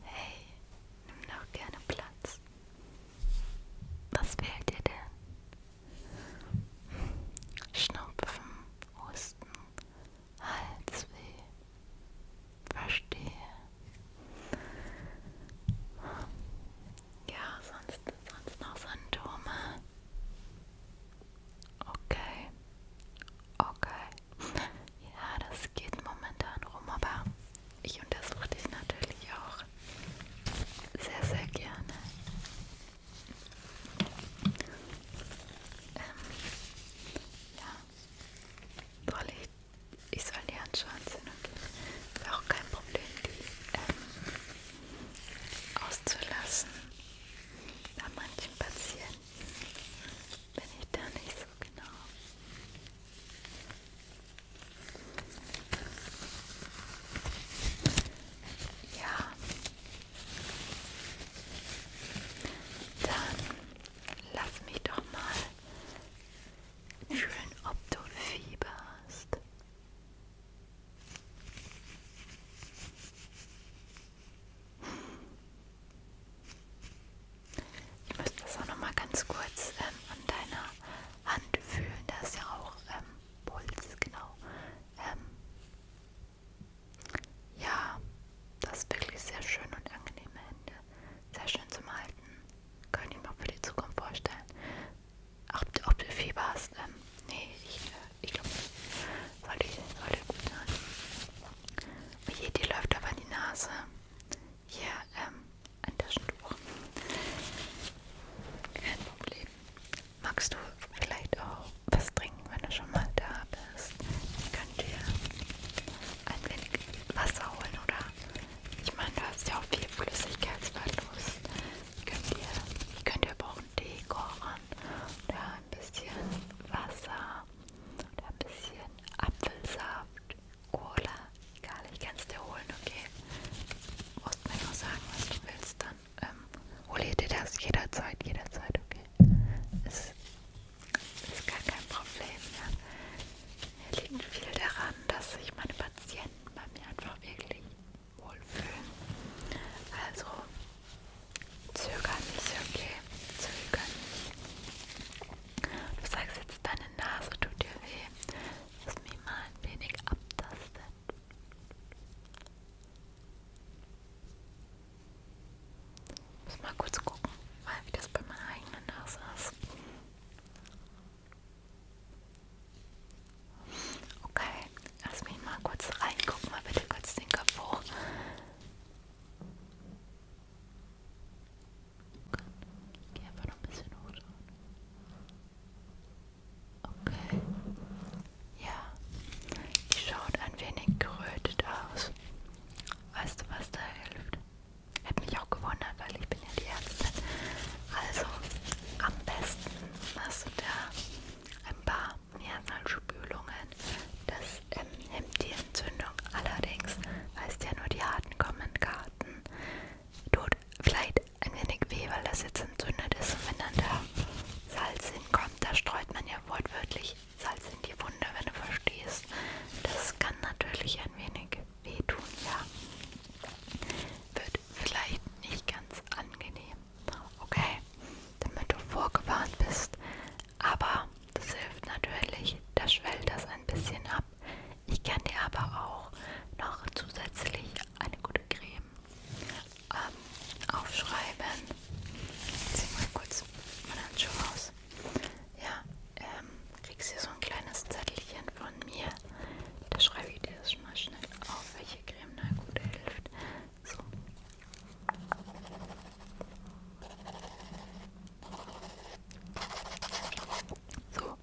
Hey, nimm doch gerne Platz. Was fehlt dir denn? Schnupfen, Husten, Halsweh. Verstehe. Ja, sonst, sonst noch Symptome. Okay. Okay. Ja, das geht momentan rum, aber ich untersuche dich natürlich auch sehr, sehr gerne. Ähm, ja, soll ich, ich soll die Handschuhe anziehen und ist auch kein Problem, die ähm, auszulassen bei manchen Patienten bin ich da nicht so genau. Ja. Dann lass mich doch mal fühlen, ob du Fieber hast. Ich müsste das auch nochmal ganz kurz ähm, an deiner Hand fühlen. Da ist ja auch ähm, Puls, genau. Ähm, ja, das ist wirklich sehr schön und angenehme Hände. Sehr schön zum Halten. Können ich mir auch für die Zukunft vorstellen. Ob, ob du Fieber hast? Ähm, nee, ich, äh, ich glaube nicht. Sollte, sollte gut sein. Hier, die läuft aber die Nase. Hier, ähm, ein Taschentuch. Kein Problem. Magst du vielleicht auch was trinken, wenn du schon mal da bist? Ich könnte dir ein wenig Wasser holen, oder? Ich meine, du hast ja auch viel Flüssigkeitsverlust. Ich könnte dir, ich könnte aber auch einen Tee kochen oder ein bisschen Wasser und ein bisschen Apfelsaft, Cola, Garlic kannst dir holen, okay? Du musst mir nur sagen, was du willst, dann ähm, hol dir das jederzeit, jederzeit, okay? Es ist gar kein Problem, ja. Mir liegt viel daran, dass sich meine Patienten bei mir einfach wirklich wohlfühlen. Also zögern nicht, okay? Zögern nicht. Du sagst jetzt, deine Nase tut dir weh. Lass mich mal ein wenig abtasten. Ich muss mal kurz gucken, mal wie das bei meiner eigenen Nase ist. Okay, lass mich mal kurz reingucken, mal bitte kurz den Kopf hoch. Geh einfach noch ein bisschen hoch Okay. Ja, die schaut ein wenig gerötet aus. Weißt du, was da hilft? Hätte mich auch gewundert, weil ich bin ja die Ärztin. Also, am besten machst du da ein paar Mehrfallspülungen. Das als ähm, hemmt die Entzündung. Allerdings weist ja nur die harten Kommentkarten. Tut vielleicht ein wenig weh, weil das jetzt entzündet ist. Und wenn dann da Salz hinkommt, da streut man ja wortwörtlich Salz in die Wunde, wenn du verstehst. Das kann natürlich ein wenig wehtun, ja. Wird vielleicht nicht ganz angenehm. Okay, damit du vorgewarnt bist, aber das hilft natürlich, das schwellt das ein bisschen ab. Ich kann dir aber auch noch zusätzlich eine gute Creme ähm, aufschreiben. Ich zieh mal kurz meine Handschuhe aus. Ja, ähm, kriegst hier so ein kleines Zettelchen von mir. Da schreibe ich dir das schon mal schnell auf, welche Creme da gut hilft. So. So,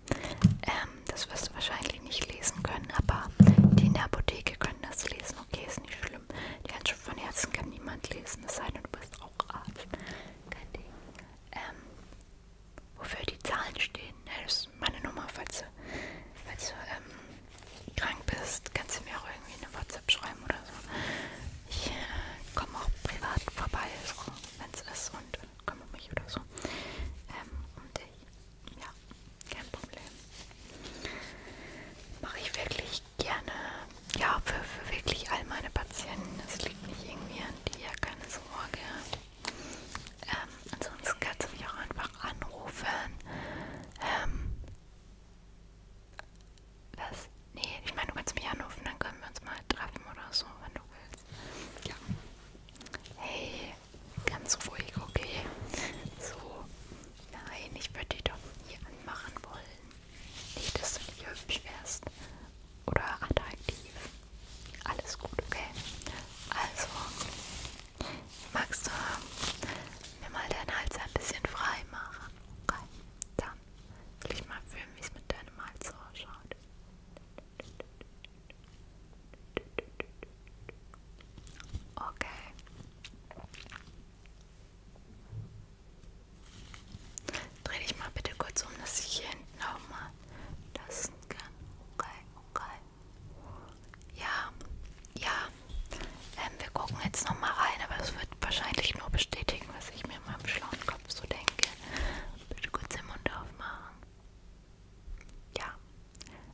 ähm, das wirst du wahrscheinlich nicht lesen können, aber die in der Apotheke können das lesen. Okay, ist nicht schlimm. Die Handschrift von Ärzten kann niemand lesen, es sei denn, du bist auch Arzt. Kein Ding. Ähm, wofür die Zahlen stehen, ne, das ist meine Nummer, falls du, falls du ähm, krank bist, kannst du mir auch irgendwie eine WhatsApp schreiben oder also ich äh, komme auch privat vorbei, so, wenn es ist und komme mich oder so. Ähm, und ich, ja, kein Problem. Mache ich wirklich gerne, ja, für, für wirklich all meine Patienten. Das liegt nicht irgendwie an dir, keine Sorge. Ähm, ansonsten kannst du mich auch einfach anrufen. Ähm, was? Nee, ich meine, du kannst mich anrufen, dann können wir uns mal treffen oder so, wenn du willst. Ja. Hey, ganz ruhig, okay? So. Nein, ich würde dich doch nie anmachen wollen. Nicht, dass du nicht hübsch wärst. Oder attraktiv. Alles gut, okay? Also, magst du mir mal deinen Hals ein bisschen frei machen? Okay, dann soll ich mal filmen, wie es mit deinem Hals ausschaut? Okay. Dreh dich mal bitte kurz um, dass ich hier hinten auch mal lassen kann. Okay, okay. Ja, ja. Ähm, wir gucken jetzt nochmal rein, aber es wird wahrscheinlich nur bestätigen, was ich mir in meinem schlauen Kopf so denke. Bitte kurz den Mund aufmachen. Ja.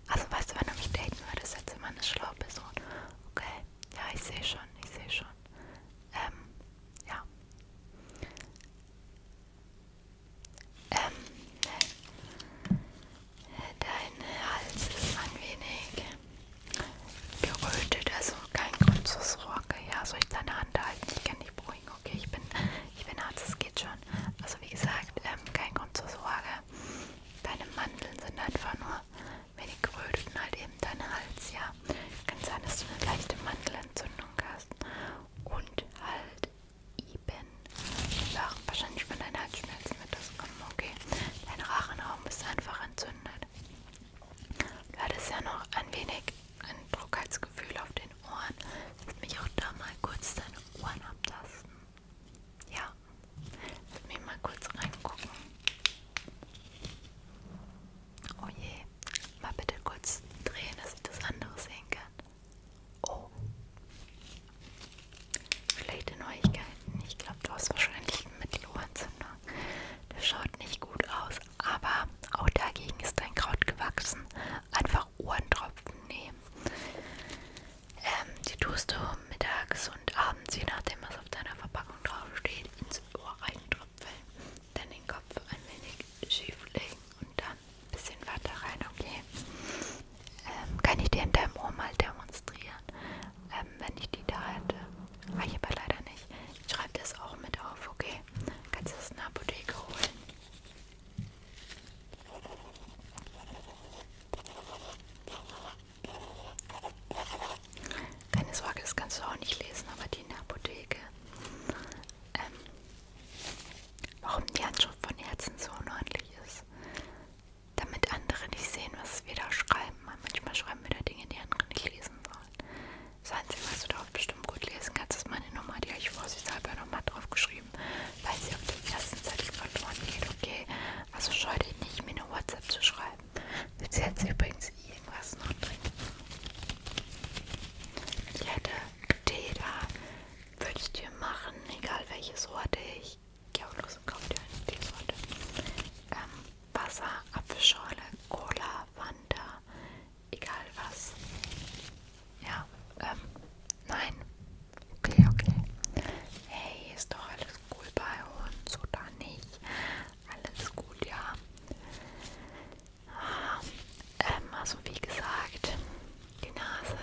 Also weißt du, wenn du mich daten würdest, jetzt immer eine schlaue Person. Okay. Ja, ich sehe schon, ich sehe schon. Ähm, ja. Ähm, dein Hals ist ein wenig gerötet, also kein Grund zur Sorge. Ja, soll ich deine Hand halten? Ich kann dich beruhigen, okay? Ich bin, ich bin Arzt, es geht schon. Also wie gesagt, ähm, kein Grund zur Sorge. Deine Mandeln sind einfach nur, wenn die geröteten halt eben dein Hals, ja. Kann sein, dass du eine leichte Mandelentzündung hast und halt eben einfach wahrscheinlich von deinen Halsschmerzen mit das kommen, okay? Dein Rachenraum ist einfach entzündet. Du hattest ja noch ein wenig ein Druckheitsgefühl auf den Ohren. Lass mich auch da mal kurz deine Ohren abtasten. Ja, lass mich mal kurz reingucken. Oh je, mal bitte kurz drehen, dass ich das andere sehen kann. Oh. Schlechte Neuigkeiten. Ich glaube, du hast wahrscheinlich einen Mittelohrentzündung. Das schaut nicht gut aus, aber auch dagegen ist ein Kraut gewachsen. Einfach Ohrentropfen nehmen. Ähm, die tust du mittags und abends, je nachdem was auf deiner Verpackung drauf steht, ins Ohr reintropfen. Dann den Kopf ein wenig schief legen und dann ein bisschen weiter rein, okay? Ähm, kann ich dir in deinem Ohr mal demonstrieren? ähm, wenn ich die da hätte. War ich aber leider nicht. Ich schreibe das auch mit auf, okay? Kannst du das in der Apotheke holen? Keine Sorge, das kannst du auch nicht lesen, aber die in der Apotheke. Ähm, warum die Handschrift von Herzen so unordentlich ist. Damit andere nicht sehen, was wir da schreiben. Manchmal schreiben wir da Dinge, die andere nicht lesen lesen sollen. Seien Sie mal so darauf bestimmt gut lesen kannst, ist meine Nummer, die habe ich vorsichtshalber nochmal drauf geschrieben, weil sie auf der ersten Seite verloren geht, okay? Also scheue dich nicht, mir eine WhatsApp zu schreiben. Willst du jetzt übrigens irgendwas noch trinken? Ich hätte Tee da, würde ich dir machen, egal welche Sorte ich. Geh auch los und kauf dir eine Teesorte. Ähm, Wasser, Apfelschorle, Cola, Wander, egal was. Ja, ähm, nein. Okay, okay. Hey, ist doch alles cool bei uns, oder nicht? Alles gut, ja. Ah, ähm, also wie gesagt, die Nase,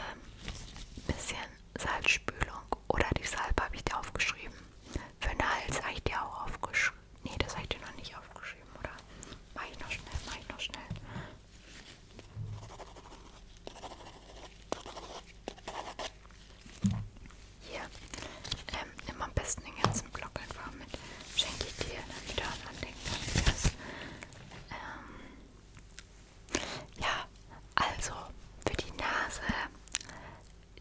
ein bisschen Salzspülung oder die Salbe habe ich dir aufgeschrieben. Für den Hals habe ich dir auch aufgeschrieben. Nee, das habe ich dir noch nicht aufgeschrieben, oder? Mach ich noch schnell, mach ich noch schnell. Hier, ähm, nimm am besten den ganzen Block einfach mit. Schenke ich dir, damit du daran denken kannst. Ähm, ja, also für die Nase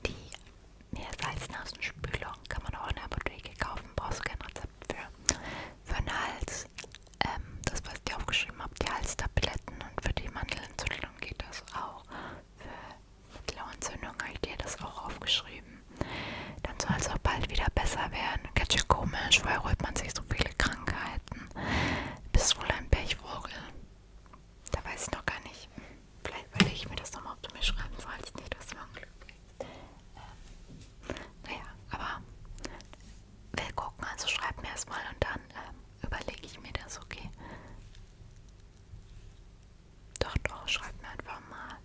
die Meersalznasenspülung kann man auch in der Apotheke kaufen, brauchst du kein Rezept für. Für den Hals, ähm, das was ich dir aufgeschrieben habe, die Halstabletten und für die Mandelentzündung geht das auch. Für Mittelohrentzündung habe ich dir das auch aufgeschrieben. Dann soll es auch bald wieder besser werden. Ganz schön komisch, weil holt man sich so viele Krankheiten. Bist wohl ein Pechvogel. Da weiß ich noch gar nicht. Vielleicht überlege ich mir das nochmal, ob du mir schreiben sollst. Nicht, dass du mal Glück bist. Ähm, naja, aber wir gucken. Also schreib mir erstmal und dann ähm, überlege ich mir das, okay? Doch, doch, schreib mir einfach mal.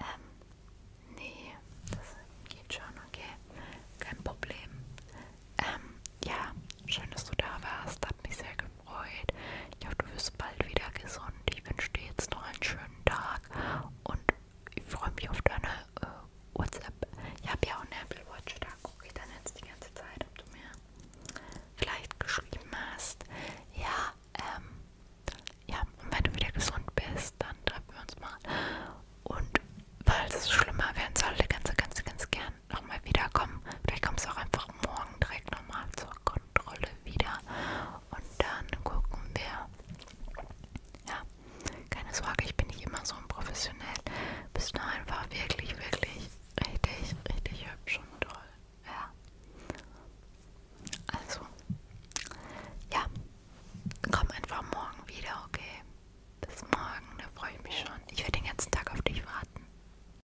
Ähm, nee, das geht schon, okay? Kein Problem. Ähm, ja, schön, dass du da warst. Hat mich sehr gefreut gefreut. Ich hoffe, du wirst bald wieder gesund. Ich wünsche dir jetzt noch einen schönen Tag und ich freue mich auf deine äh, WhatsApp. Ich habe ja auch eine Apple Watch, da gucke ich dann jetzt die ganze Zeit, ob du mir vielleicht geschrieben hast. Ja, ähm, ja, und wenn du wieder gesund bist, dann treffen wir uns mal. Und falls es schlimmer werden sollte, kannst du ganz, ganz gerne dann nochmal wiederkommen. Vielleicht kommst du auch einfach morgen direkt nochmal zur Kontrolle wieder. Und dann gucken wir. Ja, keine Sorge, ich bin nicht immer so unprofessionell. Bist du einfach wirklich, wirklich richtig, richtig hübsch und toll. Ja. Also, ja, komm einfach morgen wieder, okay? Bis morgen, da freue ich mich schon. Ich werde den ganzen Tag auf dich warten.